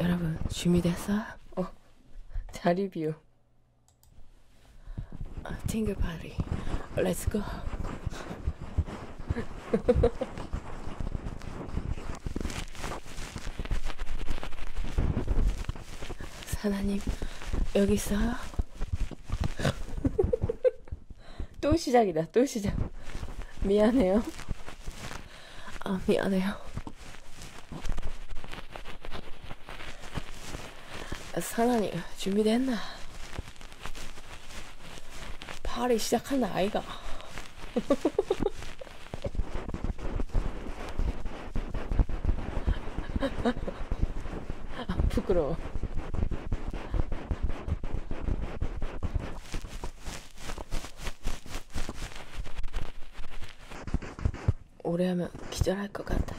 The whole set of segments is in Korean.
여러분 준비됐어? 어 자리 비움 아, 팅글 파리 렛츠고 사나님 여기 있어? 또 시작이다 또 시작 미안해요 아, 미안해요. 사나니, 준비됐나? 파리 시작한다, 아이가. 아, 부끄러워. 오래 하면 기절할 것 같아.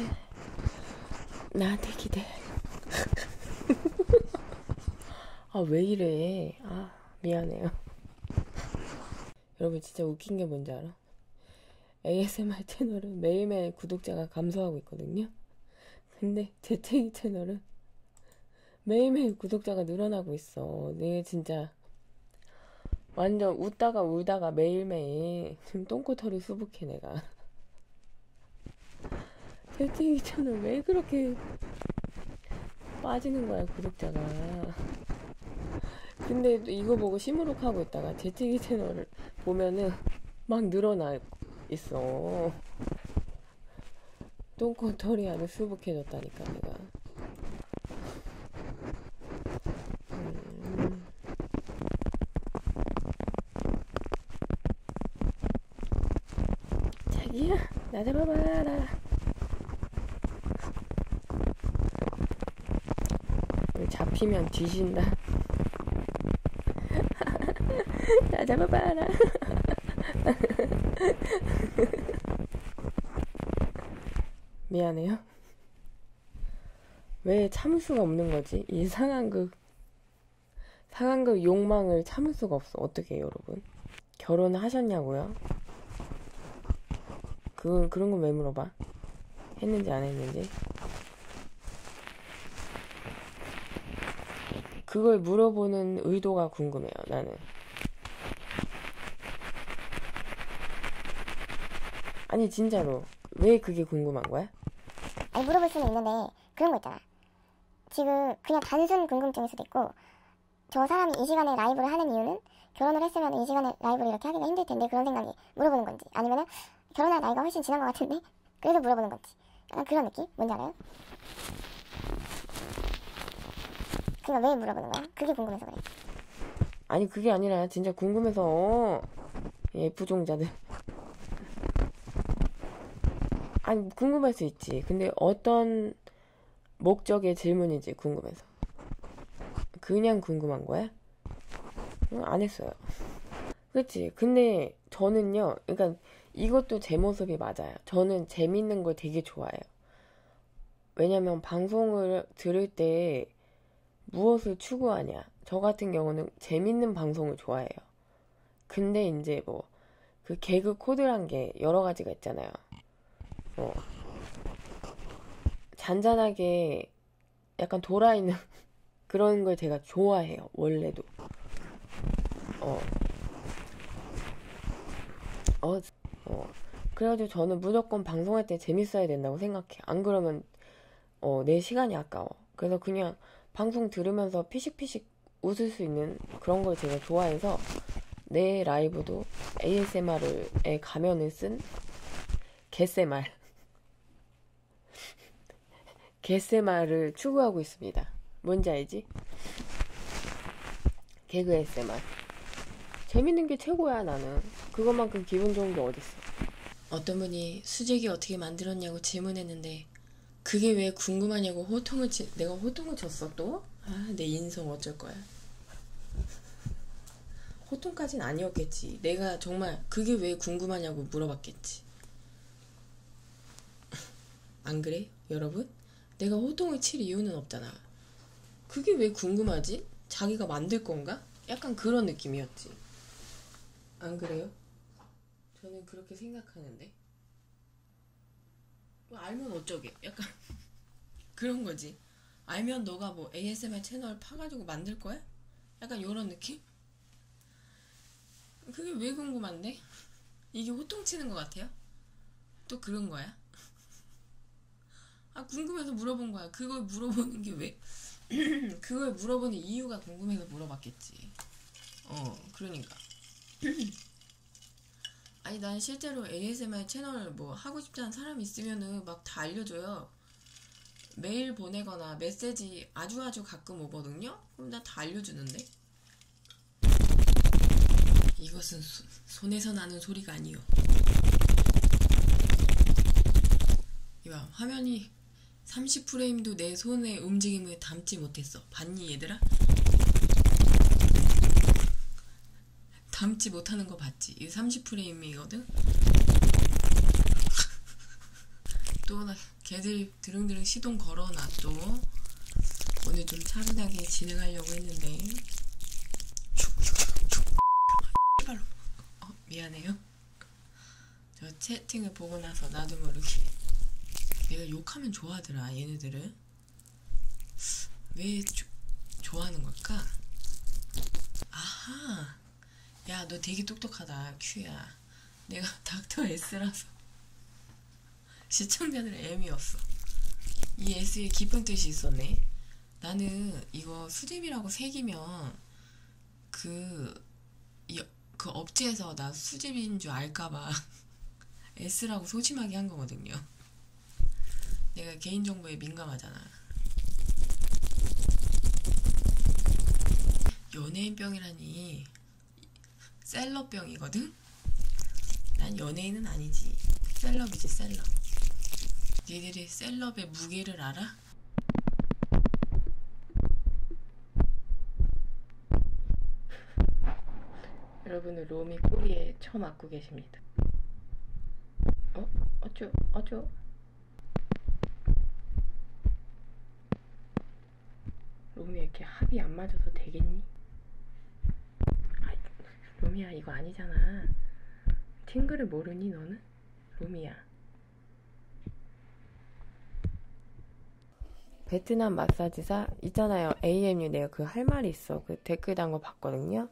나한테 기대. 아, 왜 이래. 아, 미안해요. 여러분, 진짜 웃긴 게 뭔지 알아? ASMR 채널은 매일매일 구독자가 감소하고 있거든요. 근데 재채기 채널은 매일매일 구독자가 늘어나고 있어. 내 진짜 진짜 완전 웃다가 울다가 매일매일 지금 똥꼬털이 수북해 내가 채팅이 저는 왜 그렇게 빠지는 거야 구독자가 근데 이거 보고 시무룩하고 있다가 재채기 채널을 보면은 막 늘어나 있어 똥꼬털이 아주 수북 행복해졌다니까 내가 음. 자기야 나 잡아봐라 잡히면 뒤진다 나 잡아봐라 미안해요. 왜 참을 수가 없는 거지? 이 상황극, 상황극 욕망을 참을 수가 없어. 어떻게 해요, 여러분? 결혼하셨냐고요? 그건, 그런 건 왜 물어봐? 했는지 안 했는지? 그걸 물어보는 의도가 궁금해요, 나는. 아니 진짜로 왜 그게 궁금한 거야? 아니 물어볼 수는 있는데 그런 거 있잖아. 지금 그냥 단순 궁금증일 수도 있고 저 사람이 이 시간에 라이브를 하는 이유는 결혼을 했으면 이 시간에 라이브를 이렇게 하기가 힘들 텐데 그런 생각이 물어보는 건지 아니면은 결혼할 나이가 훨씬 지난 것 같은데 그래서 물어보는 건지 약간 그런 느낌? 뭔지 알아요? 그러니까 왜 물어보는 거야? 그게 궁금해서 그래. 아니 그게 아니라 진짜 궁금해서 예 부종자들 아니 궁금할 수 있지 근데 어떤 목적의 질문인지 궁금해서 그냥 궁금한 거야? 응, 안 했어요 그렇지 근데 저는요 그러니까 이것도 제 모습이 맞아요 저는 재밌는 걸 되게 좋아해요 왜냐면 방송을 들을 때 무엇을 추구하냐. 저 같은 경우는 재밌는 방송을 좋아해요. 근데 이제 뭐, 그 개그 코드란 게 여러 가지가 있잖아요. 뭐, 잔잔하게 약간 돌아있는 그런 걸 제가 좋아해요, 원래도. 어. 어, 어, 그래가지고 저는 무조건 방송할 때 재밌어야 된다고 생각해. 안 그러면 어, 내 시간이 아까워. 그래서 그냥 방송 들으면서 피식피식 웃을 수 있는 그런 걸 제가 좋아해서 내 라이브도 ASMR에 가면을 쓴 개세말. 개세말을 추구하고 있습니다. 뭔지 알지? 개그 SMR. 재밌는 게 최고야, 나는. 그것만큼 기분 좋은 게 어딨어. 어떤 분이 수제기 어떻게 만들었냐고 질문했는데, 그게 왜 궁금하냐고 호통을, 치, 내가 호통을 쳤어, 또? 아, 내 인성 어쩔 거야. 호통까진 아니었겠지. 내가 정말 그게 왜 궁금하냐고 물어봤겠지. 안 그래? 여러분? 내가 호통을 칠 이유는 없잖아. 그게 왜 궁금하지? 자기가 만들 건가? 약간 그런 느낌이었지. 안 그래요? 저는 그렇게 생각하는데. 뭐 알면 어쩌게. 약간 그런 거지. 알면 너가 뭐 ASMR 채널 파가지고 만들 거야? 약간 이런 느낌? 그게 왜 궁금한데? 이게 호통치는 것 같아요? 또 그런 거야? 아, 궁금해서 물어본 거야. 그걸 물어보는 게 왜? 그걸 물어보는 이유가 궁금해서 물어봤겠지. 어, 그러니까. 아니, 난 실제로 ASMR 채널 뭐 하고 싶다는 사람 있으면은 막 다 알려줘요. 메일 보내거나 메시지 아주 아주 가끔 오거든요? 그럼 나다 알려주는데? 이것은 수, 손에서 나는 소리가 아니요. 이봐, 화면이 30프레임도 내 손의 움직임을 담지 못했어. 봤니, 얘들아? 담지 못하는 거 봤지? 이 30프레임이거든? 또, 나, 걔들 드릉드릉 시동 걸어놨죠. 오늘 좀 차분하게 진행하려고 했는데. 칼로 어, 미안해요. 저 채팅을 보고 나서 나도 모르게 내가 욕하면 좋아하더라 얘네들은 왜 조, 좋아하는 걸까? 아하 야너 되게 똑똑하다 큐야 내가 닥터 S라서 시청자들 M이었어 이 S에 깊은 뜻이 있었네 나는 이거 수집이라고 새기면 그, 이, 그 업체에서 나 수집인 줄 알까봐 S라고 소심하게 한 거거든요. 내가 개인정보에 민감하잖아. 연예인병이라니 셀럽병이거든? 난 연예인은 아니지 셀럽이지 셀럽 얘들이 어떻게 셀럽의 무게를 알아? 여러분은 롬이 꼬리에 처 맞고 계십니다. 어? 어쭈? 어쭈? 롬이 이렇게 합이 안 맞아서 되겠니? 아, 롬이야 이거 아니잖아. 팅글을 모르니 너는? 루미야. 베트남 마사지사 있잖아요. AMU 내가 그 할 말이 있어. 그 댓글 단 거 봤거든요.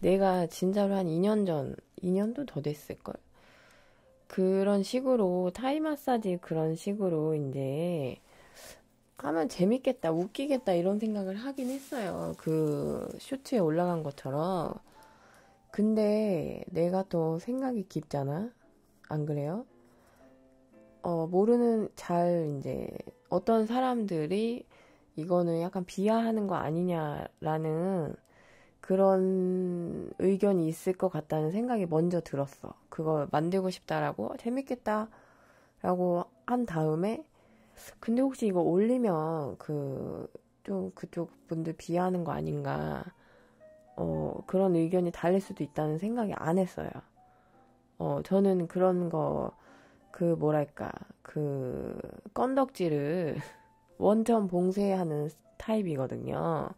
내가 진짜로 한 2년 전, 2년도 더 됐을걸. 그런 식으로 타이 마사지 그런 식으로 이제 하면 재밌겠다, 웃기겠다 이런 생각을 하긴 했어요. 그 쇼츠에 올라간 것처럼. 근데 내가 더 생각이 깊잖아? 안 그래요? 어, 모르는 잘 이제 어떤 사람들이 이거는 약간 비하하는 거 아니냐라는 그런 의견이 있을 것 같다는 생각이 먼저 들었어. 그걸 만들고 싶다라고 재밌겠다 라고 한 다음에 근데 혹시 이거 올리면 그좀 그쪽 분들 비하하는 거 아닌가, 어, 그런 의견이 달릴 수도 있다는 생각이 안 했어요. 어, 저는 그런 거, 그, 뭐랄까, 그, 건덕지를 원천 봉쇄하는 타입이거든요.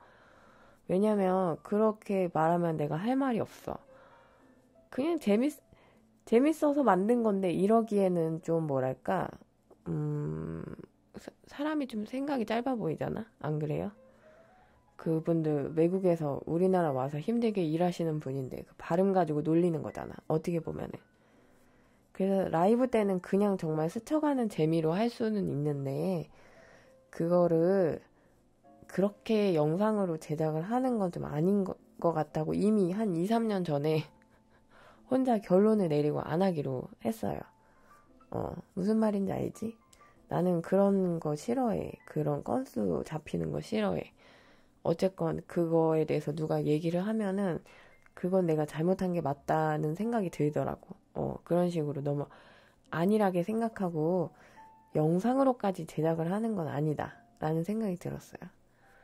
왜냐면, 그렇게 말하면 내가 할 말이 없어. 그냥 재밌, 재밌어서 만든 건데, 이러기에는 좀 뭐랄까, 음, 사, 사람이 좀 생각이 짧아 보이잖아? 안 그래요? 그분들 외국에서 우리나라 와서 힘들게 일하시는 분인데 그 발음 가지고 놀리는 거잖아. 어떻게 보면은. 그래서 라이브 때는 그냥 정말 스쳐가는 재미로 할 수는 있는데 그거를 그렇게 영상으로 제작을 하는 건 좀 아닌 것 같다고 이미 한 2, 3년 전에 혼자 결론을 내리고 안 하기로 했어요. 어, 무슨 말인지 알지? 나는 그런 거 싫어해. 그런 건수 잡히는 거 싫어해. 어쨌건 그거에 대해서 누가 얘기를 하면은 그건 내가 잘못한 게 맞다는 생각이 들더라고. 어, 그런 식으로 너무 안일하게 생각하고 영상으로까지 제작을 하는 건 아니다. 라는 생각이 들었어요.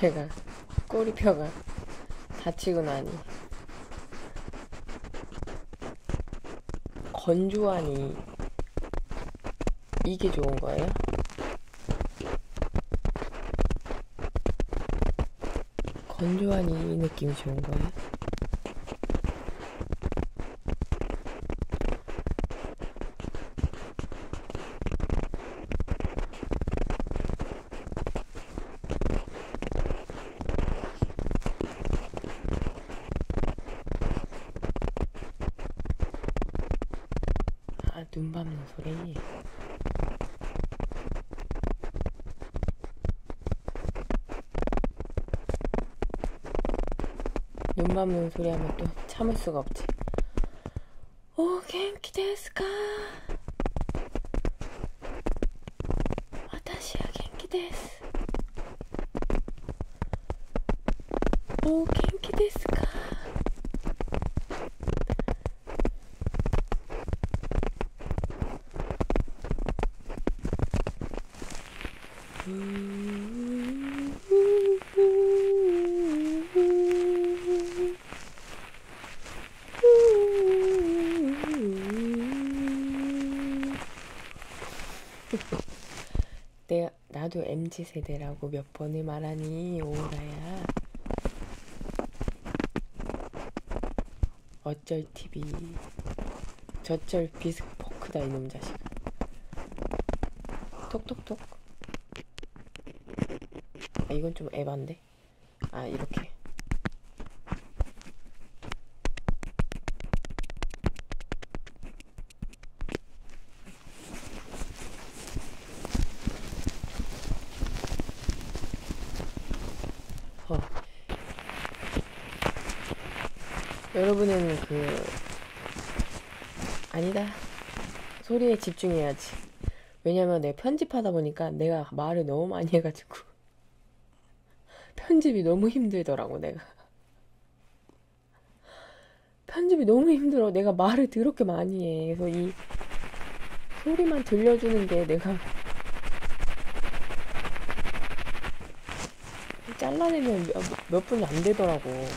제가 꼬리뼈가 다치고 나니 건조하니 이게 좋은 거예요? 건조한 이 느낌이 좋은 거예요? 아, 눈 밟는 소리. 눈 밟는 소리 하면 또 참을 수가 없지. 오, 갱키 데스까? 아타시야 갱키 데스. 오, 갱키 데스까? 내 네, 나도 MZ 세대라고 몇몇 번을 말하니 오라야 어쩔 TV 저쩔 비스포크다 이놈 자식 톡톡톡 아 이건 좀 에반데 아 이렇게 어. 여러분은 그 아니다 소리에 집중해야지 왜냐면 내가 편집하다 보니까 내가 말을 너무 많이 해가지고 편집이 너무 힘들더라고 내가 편집이 너무 힘들어 내가 말을 더럽게 많이 해 그래서 이이 소리만 들려주는 게 내가 잘라내면 몇, 몇 분이 안 되더라고.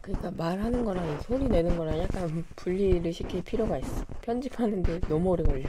그러니까 말하는 거랑 소리 내는 거랑 약간 분리를 시킬 필요가 있어. 편집하는데 너무 오래 걸려.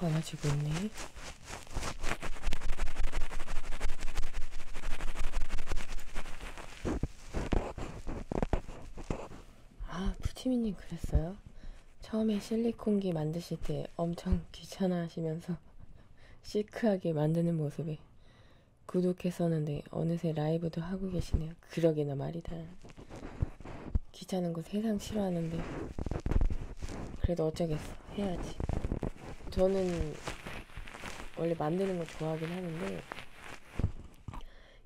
많아지고 있네. 아, 푸치미님 그랬어요? 처음에 실리콘기 만드실 때 엄청 귀찮아 하시면서 시크하게 만드는 모습에 구독했었는데 어느새 라이브도 하고 계시네요. 그러게나 말이다. 귀찮은 거 세상 싫어하는데 그래도 어쩌겠어. 해야지. 저는 원래 만드는 거 좋아하긴 하는데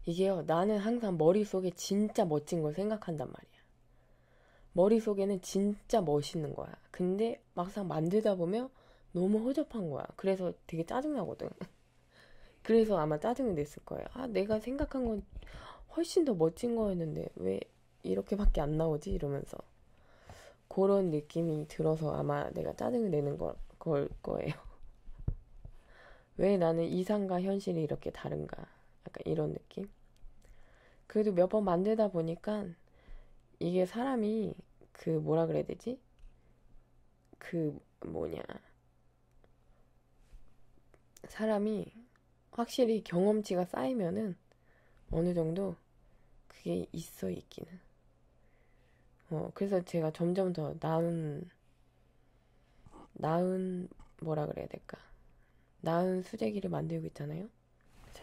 이게요, 나는 항상 머릿속에 진짜 멋진 걸 생각한단 말이야. 머릿속에는 진짜 멋있는 거야. 근데 막상 만들다 보면 너무 허접한 거야. 그래서 되게 짜증나거든. 그래서 아마 짜증을 냈을 거예요. 아, 내가 생각한 건 훨씬 더 멋진 거였는데 왜 이렇게밖에 안 나오지? 이러면서. 그런 느낌이 들어서 아마 내가 짜증을 내는 걸, 걸 거예요. 왜 나는 이상과 현실이 이렇게 다른가. 약간 이런 느낌. 그래도 몇 번 만들다 보니까 이게 사람이 그 뭐라 그래야 되지? 그 뭐냐. 사람이 확실히 경험치가 쌓이면은 어느 정도 그게 있어 있기는. 어, 그래서 제가 점점 더 나은 나은 뭐라 그래야 될까? 나은 수제기를 만들고 있잖아요. 자.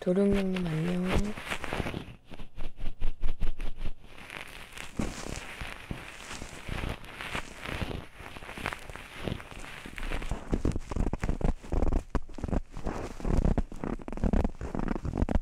도룡룡님 안녕.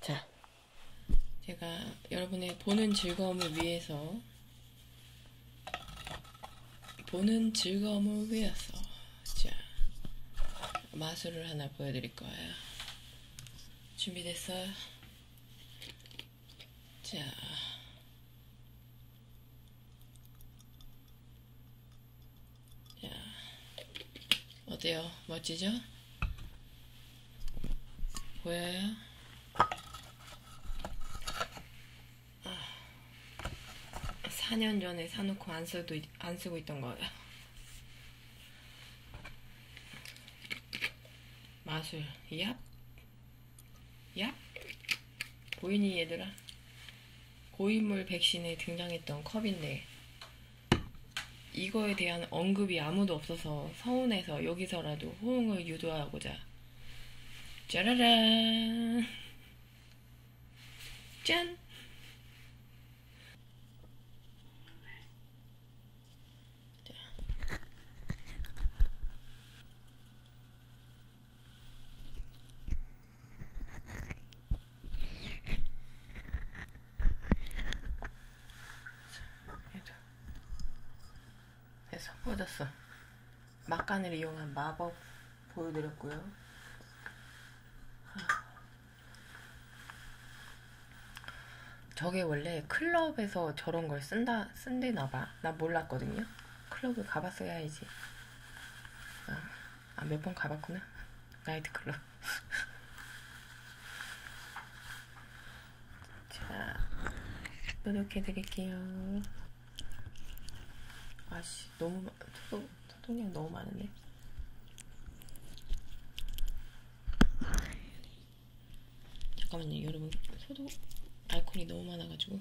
자, 제가 여러분의 보는 즐거움을 위해서 보는 즐거움을 위해서 자 마술을 하나 보여드릴 거예요. 준비됐어요? 자. 자. 어때요? 멋지죠? 보여요? 아, 4년 전에 사놓고 안 쓰고, 안 쓰고 있던 거예요. 마술 얍 얍? 보이니 얘들아? 고인물 백신에 등장했던 컵인데 이거에 대한 언급이 아무도 없어서 서운해서 여기서라도 호응을 유도하고자 짜라란 짠 됐어 꽂았어 막간을 이용한 마법 보여드렸고요 저게 원래 클럽에서 저런 걸 쓴다, 쓴대나봐. 나 몰랐거든요. 클럽을 가봤어야지. 아, 아 몇번 가봤구나. 나이트클럽. 자, 노력해드릴게요. 아씨, 너무, 토동, 토동량 너무 많은데. 잠깐만요 여러분 소독 알코올이 너무 많아가지고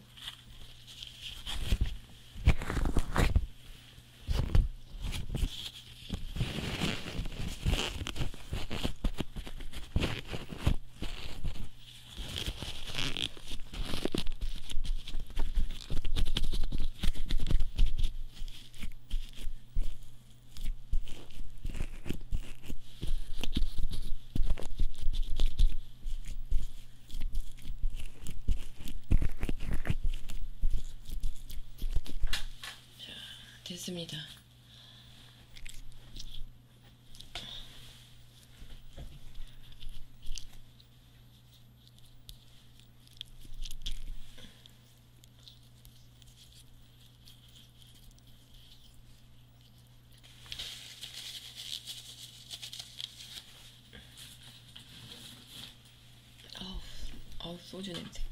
자, 됐습니다. 아우, 아우 소주 냄새.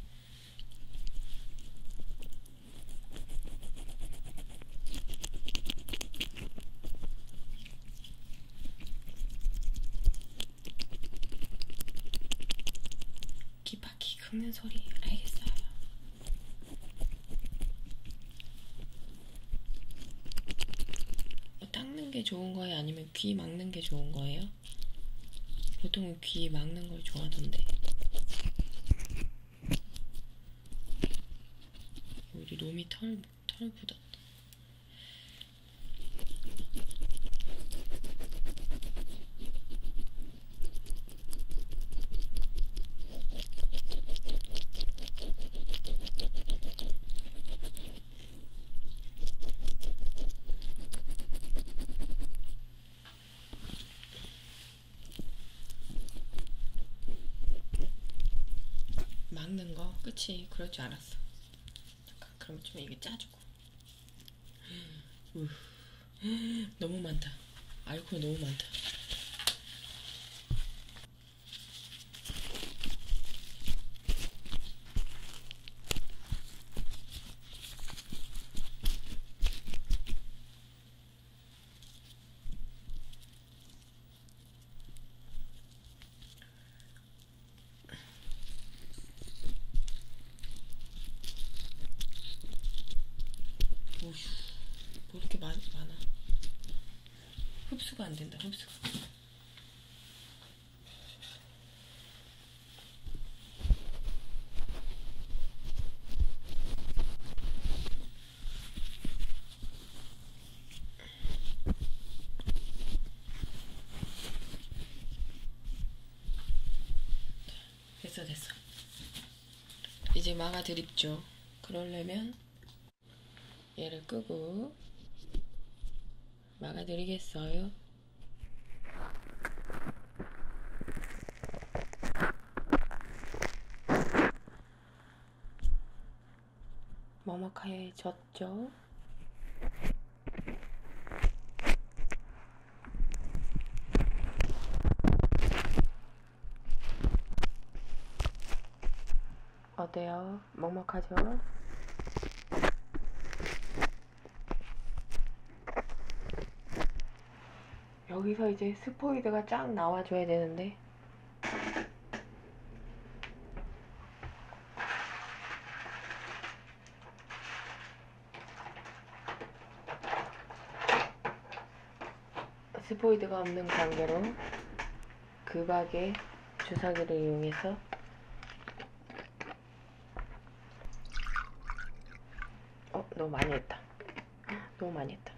바퀴 긁는 소리 알겠어요. 뭐 닦는 게 좋은 거예요? 아니면 귀 막는 게 좋은 거예요? 보통은 귀 막는 걸 좋아하던데. 우리 롬이 털, 털 묻었다. 막는 거? 그치 그럴 줄 알았어 잠깐 그럼 좀 이게 짜주고 너무 많다. 아이콘 너무 많다. 오휴, 뭐 이렇게 많, 많아. 흡수가 안 된다, 흡수가. 됐어 됐어 이제 막아 드립죠 그러려면 얘를 끄고 막아 드리겠어요 머뭇하게 졌죠 어때요? 먹먹하죠? 여기서 이제 스포이드가 쫙 나와줘야 되는데 스포이드가 없는 관계로 급하게 주사기를 이용해서 어 너무 많이 했다 너무 많이 했다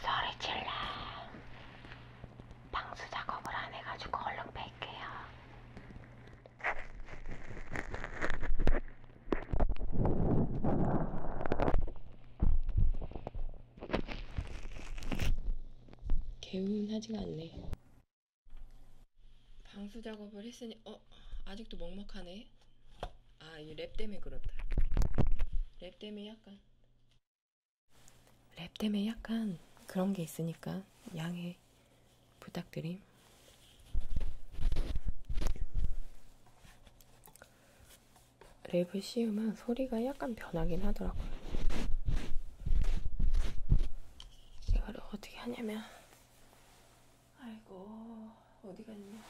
소리질러 방수 작업을 안 해가지고 얼른 뺄게요 개운하지가 않네 방수 작업을 했으니 어? 아직도 먹먹하네 아, 이 랩 때문에 그렇다. 랩 때문에 약간. 랩 때문에 약간 그런 게 있으니까 양해 부탁드림. 랩을 씌우면 소리가 약간 변하긴 하더라고요. 이걸 어떻게 하냐면, 아이고, 어디 갔냐.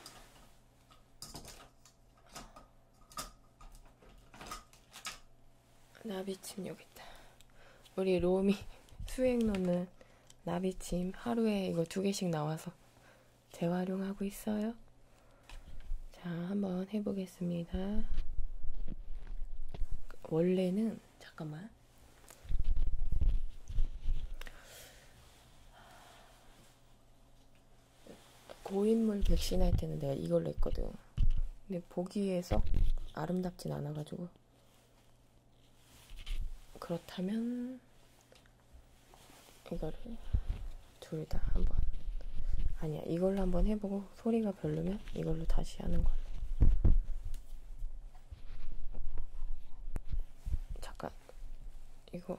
나비침 여기 있다. 우리 로미 수행로는 나비침 하루에 이거 두 개씩 나와서 재활용하고 있어요. 자, 한번 해보겠습니다. 원래는 잠깐만. 고인물 백신 할 때는 내가 이걸로 했거든. 근데 보기에 썩 아름답진 않아가지고. 그렇다면, 이거를 둘 다 한번. 아니야, 이걸로 한번 해보고 소리가 별로면 이걸로 다시 하는 걸로. 잠깐, 이거.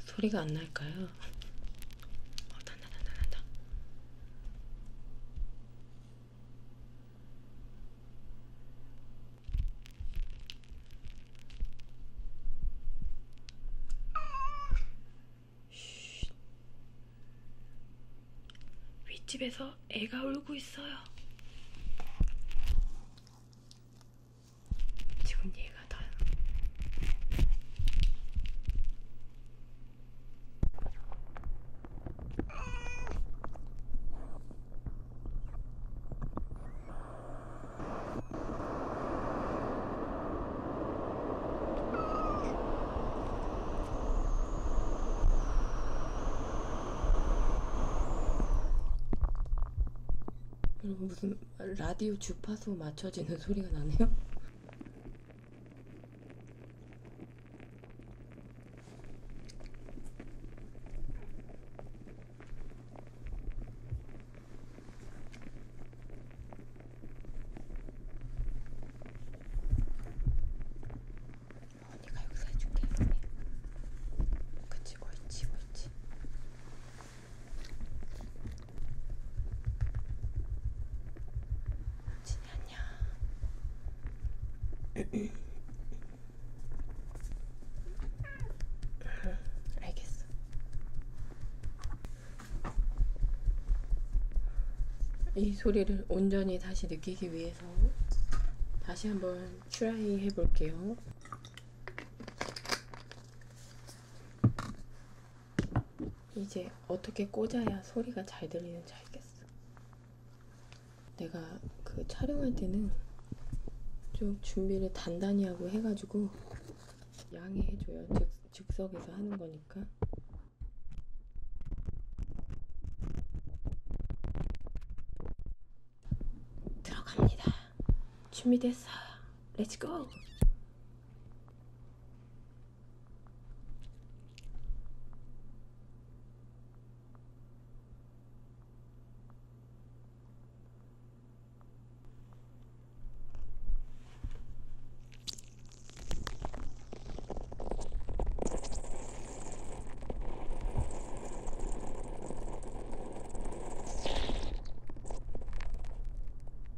소리가 안 날까요? 어, 난다, 난다, 난다. 윗집에서 애가 울고 있어요. 지금 얘가 다 여러분 무슨 라디오 주파수 맞춰지는 소리가 나네요. 언니가 역사해 줄게. 그치, 옳지, 옳지. 진이 안녕. 알겠어. 이 소리를 온전히 다시 느끼기 위해서 다시 한번 트라이 해볼게요. 이제 어떻게 꽂아야 소리가 잘 들리는지 알겠어. 내가 그 촬영할 때는 좀 준비를 단단히 하고 해가지고 양해해줘요. 즉, 즉석에서 하는 거니까. 들어갑니다. 준비됐어. 렛츠고!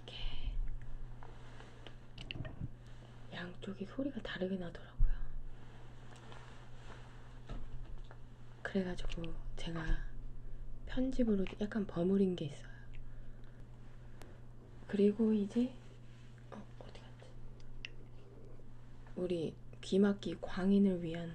이게 양쪽이 소리가 다르게 나더라고요. 그래가지고 제가 편집으로 약간 버무린 게 있어요. 그리고 이제 어, 어디 갔지? 우리 귀막기 광인을 위한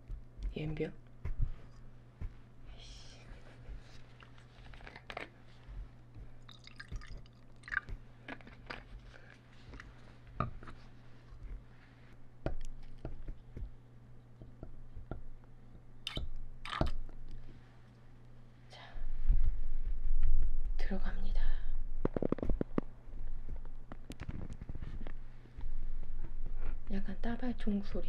옌비야? 들어갑니다. 약간 따발 종소리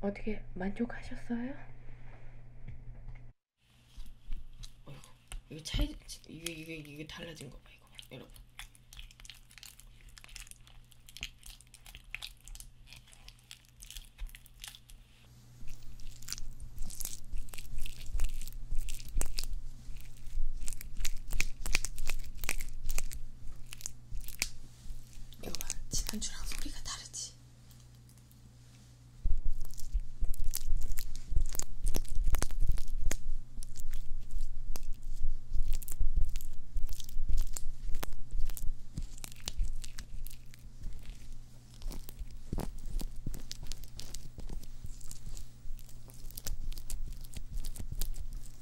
어떻게 만족하셨어요? 어이구, 이거 차이 이게 이게 이게 달라진 거 봐 이거 여러분. 요거 지난주랑 소리가 다르지?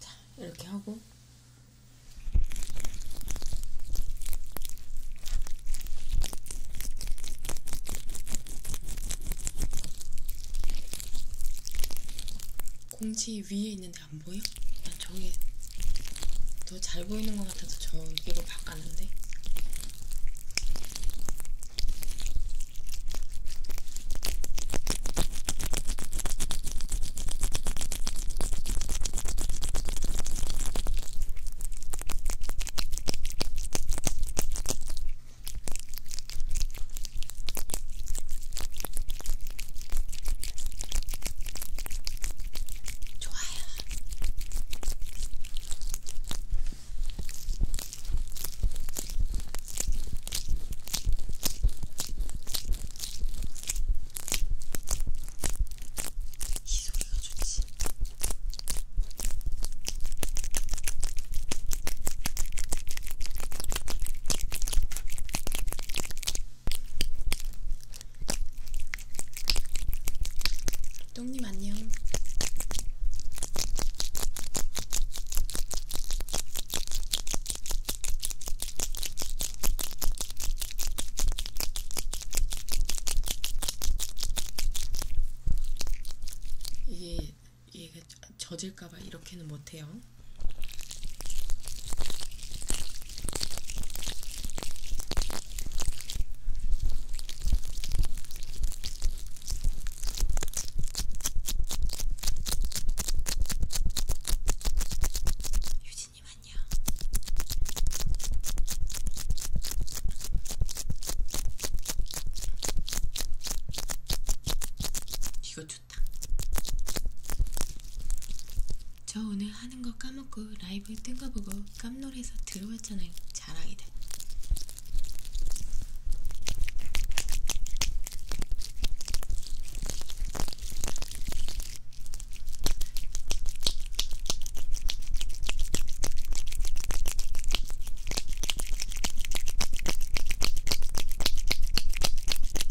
자, 이렇게 하고 공지 위에 있는 근데 안 보여? 나 저기 더 잘 보이는 것 같아서 저기로 바꿨는데. 좋아요. 이 소리가 좋지. 똥님 안녕. 이게 이게 그 저질 젖을까봐 이렇게는 못해요. 유진님 안녕. 이거 좋다. 저 오늘 하는 거 까먹고 라이브 뜬 거 보고 깜놀해서 들어왔잖아요. 자랑이다.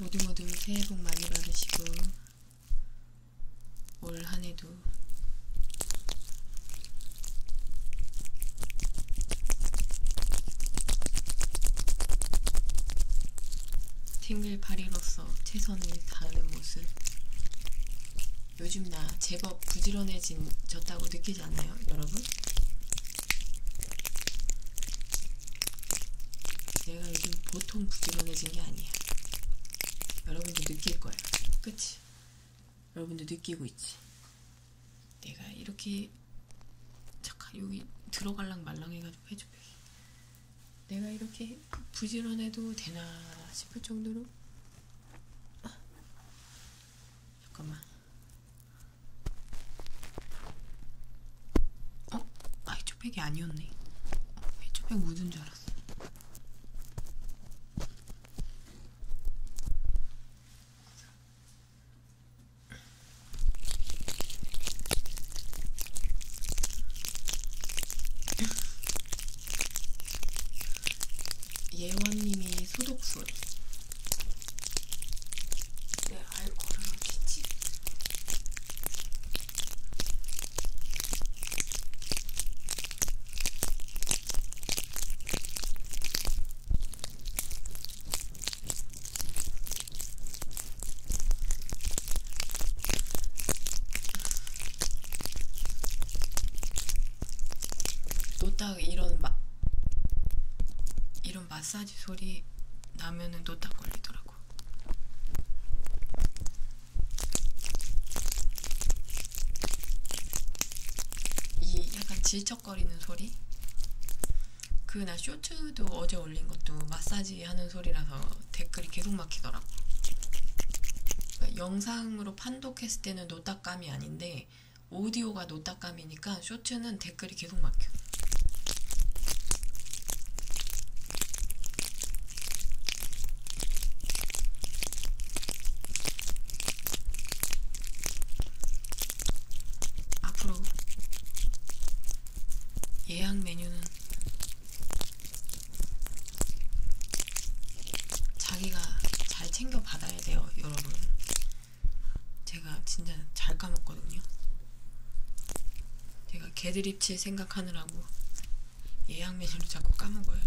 모두 모두 새해 복 많이 받으시고 올 한해도 싱글파리로서 최선을 다하는 모습 요즘 나 제법 부지런해졌다고 느끼지 않나요 여러분? 내가 요즘 보통 부지런해진 게 아니야. 여러분도 느낄 거야. 그치? 여러분도 느끼고 있지? 내가 이렇게 잠깐 여기 들어갈랑 말랑 해가지고 해줘. 내가 이렇게 부지런해도 되나 싶을 정도로 아. 잠깐만 어? 아이 해초팩이 아니었네. 어, 해초팩 묻은 줄 알았어. 예원님의 소독 소리. 내 알코올은 어디지? 노딱 이런 마, 이런 마사지 소리 나면은 노딱 걸리더라. 하더라고. 이 약간 질척거리는 소리? 그나 쇼츠도 어제 올린 것도 마사지 하는 소리라서 댓글이 계속 막히더라고. 그러니까 영상으로 판독했을 때는 노딱감이 아닌데 오디오가 노딱감이니까 쇼츠는 댓글이 계속 막혀. 앞으로 예약 메뉴는 자기가 잘 챙겨 받아야 돼요, 여러분. 제가 진짜 잘 까먹거든요. 제가 개드립치 생각하느라고 예약 메뉴를 자꾸 까먹어요.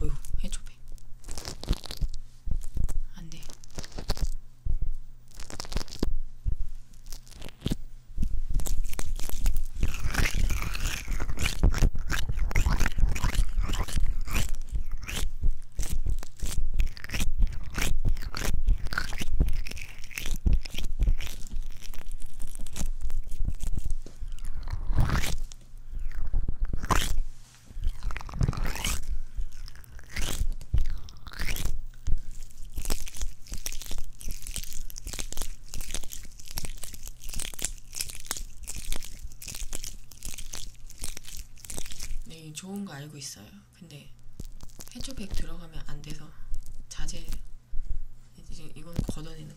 어휴, 해줘배. 안 돼. 네, 좋은 거 알고 있어요. 근데 해초백 들어가면 안 돼서 자제 이건 걷어내는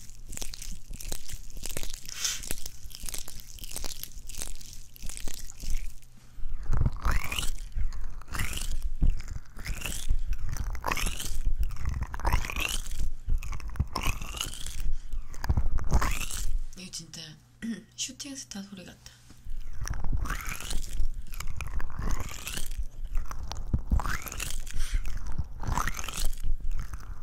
이게 진짜 슈팅스타 소리 같다.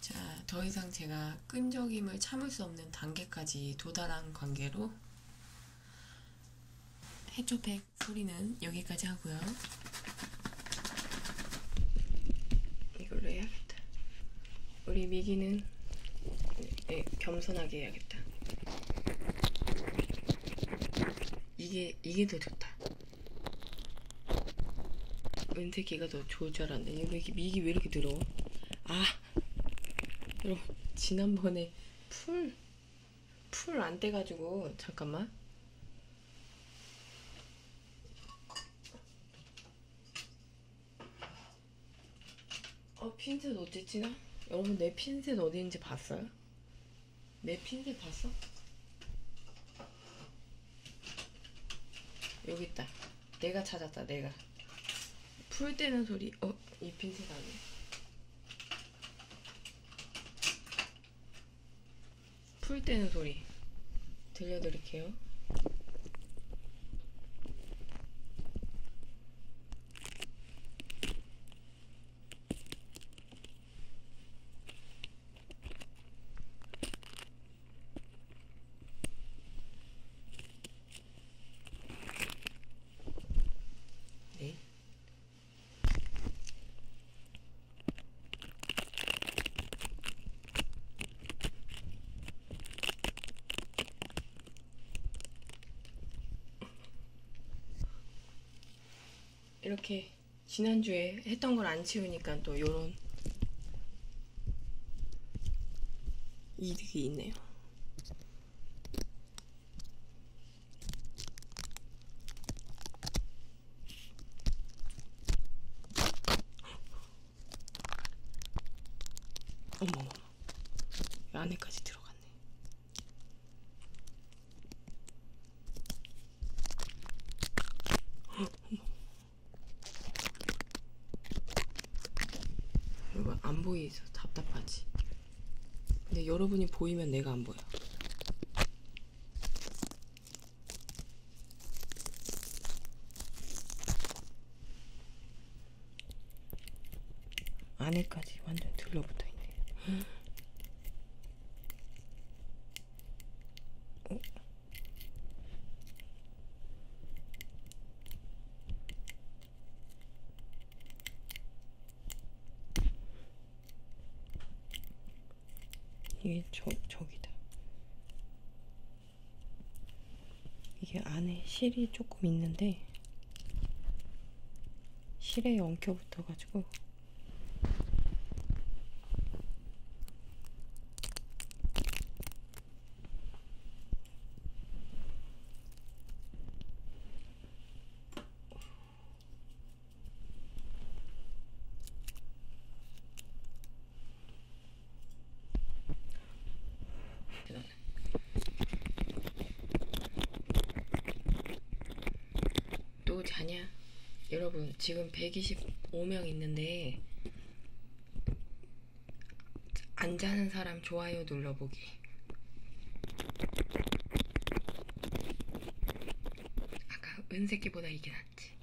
자, 더 이상 제가 끈적임을 참을 수 없는 단계까지 도달한 관계로 해초팩 소리는 여기까지 하고요. 이걸로 해야겠다. 우리 미기는 네, 겸손하게 해야겠다. 이게 이게 더 좋다. 은색이가 더 좋을 줄 알았는데 왜 이렇게 미기 왜 이렇게 더러워? 아 여러분 지난번에 풀 풀안 떼가지고 잠깐만 어 핀셋 어디 지나? 여러분 내 핀셋 어디 있는지 봤어요? 내 핀셋 봤어? 여기 있다 내가 찾았다 내가 풀 떼는 소리 어? 이 핀셋 아니야 풀 때는 소리 들려드릴게요. 네. 이렇게 지난주에 했던 걸 안 치우니까 또 요런 이득이 있네요. 어머머 안에까지 들어갔네 이거 안 보이서 답답하지 근데 여러분이 보이면 내가 안 보여. 안에까지 완전 들러붙어 있네. 어? 이게 저, 저기다. 이게 안에 실이 조금 있는데, 실에 엉켜 붙어가지고, 또 자냐? 여러분 지금 125명 있는데 안 자는 사람 좋아요 눌러보기 아까 은색기보다 이게 낫지.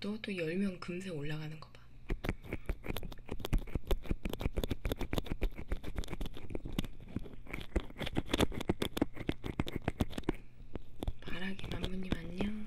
너또 열면 금세 올라가는 거 봐. 바라기 만무님 안녕.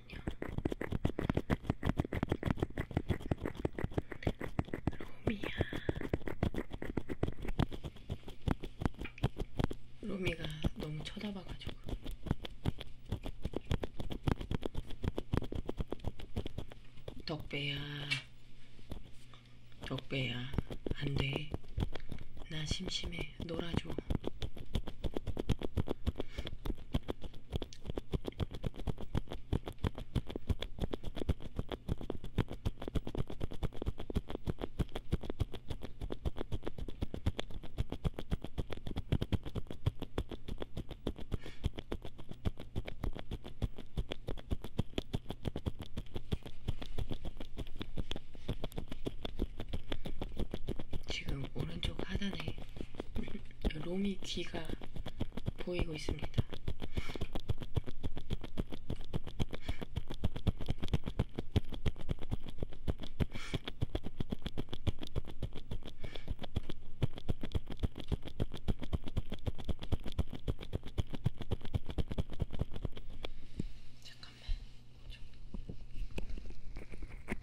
잠깐만요. 로미야. 로미가 너무 쳐다봐가지고. 덕배야. 덕배야. 안 돼. 나 심심해. 놀아줘. 지금 오른쪽 하단에 로미 귀가 보이고 있습니다. 잠깐만. 좀.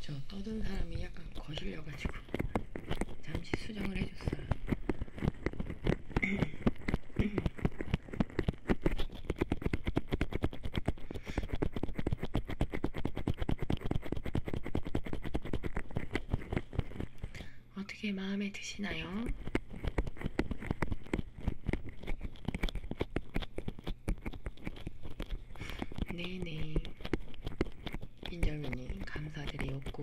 저 떠든 사람이 약간 거슬려가지고 잠시 수정을 해줬어요. 어떻게 마음에 드시나요? 네네 인절미님 감사드리었고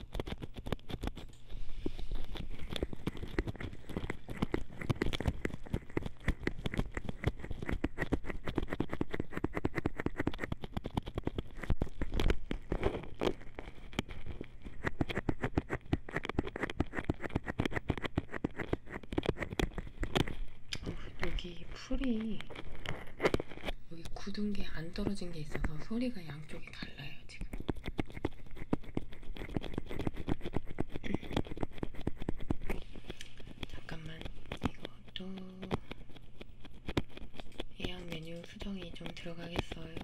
여기 풀이 여기 굳은 게 안 떨어진 게 있어서 소리가 다 양쪽이 달라요 지금. 잠깐만 이것도 예약 메뉴 수정이 좀 들어가겠어요.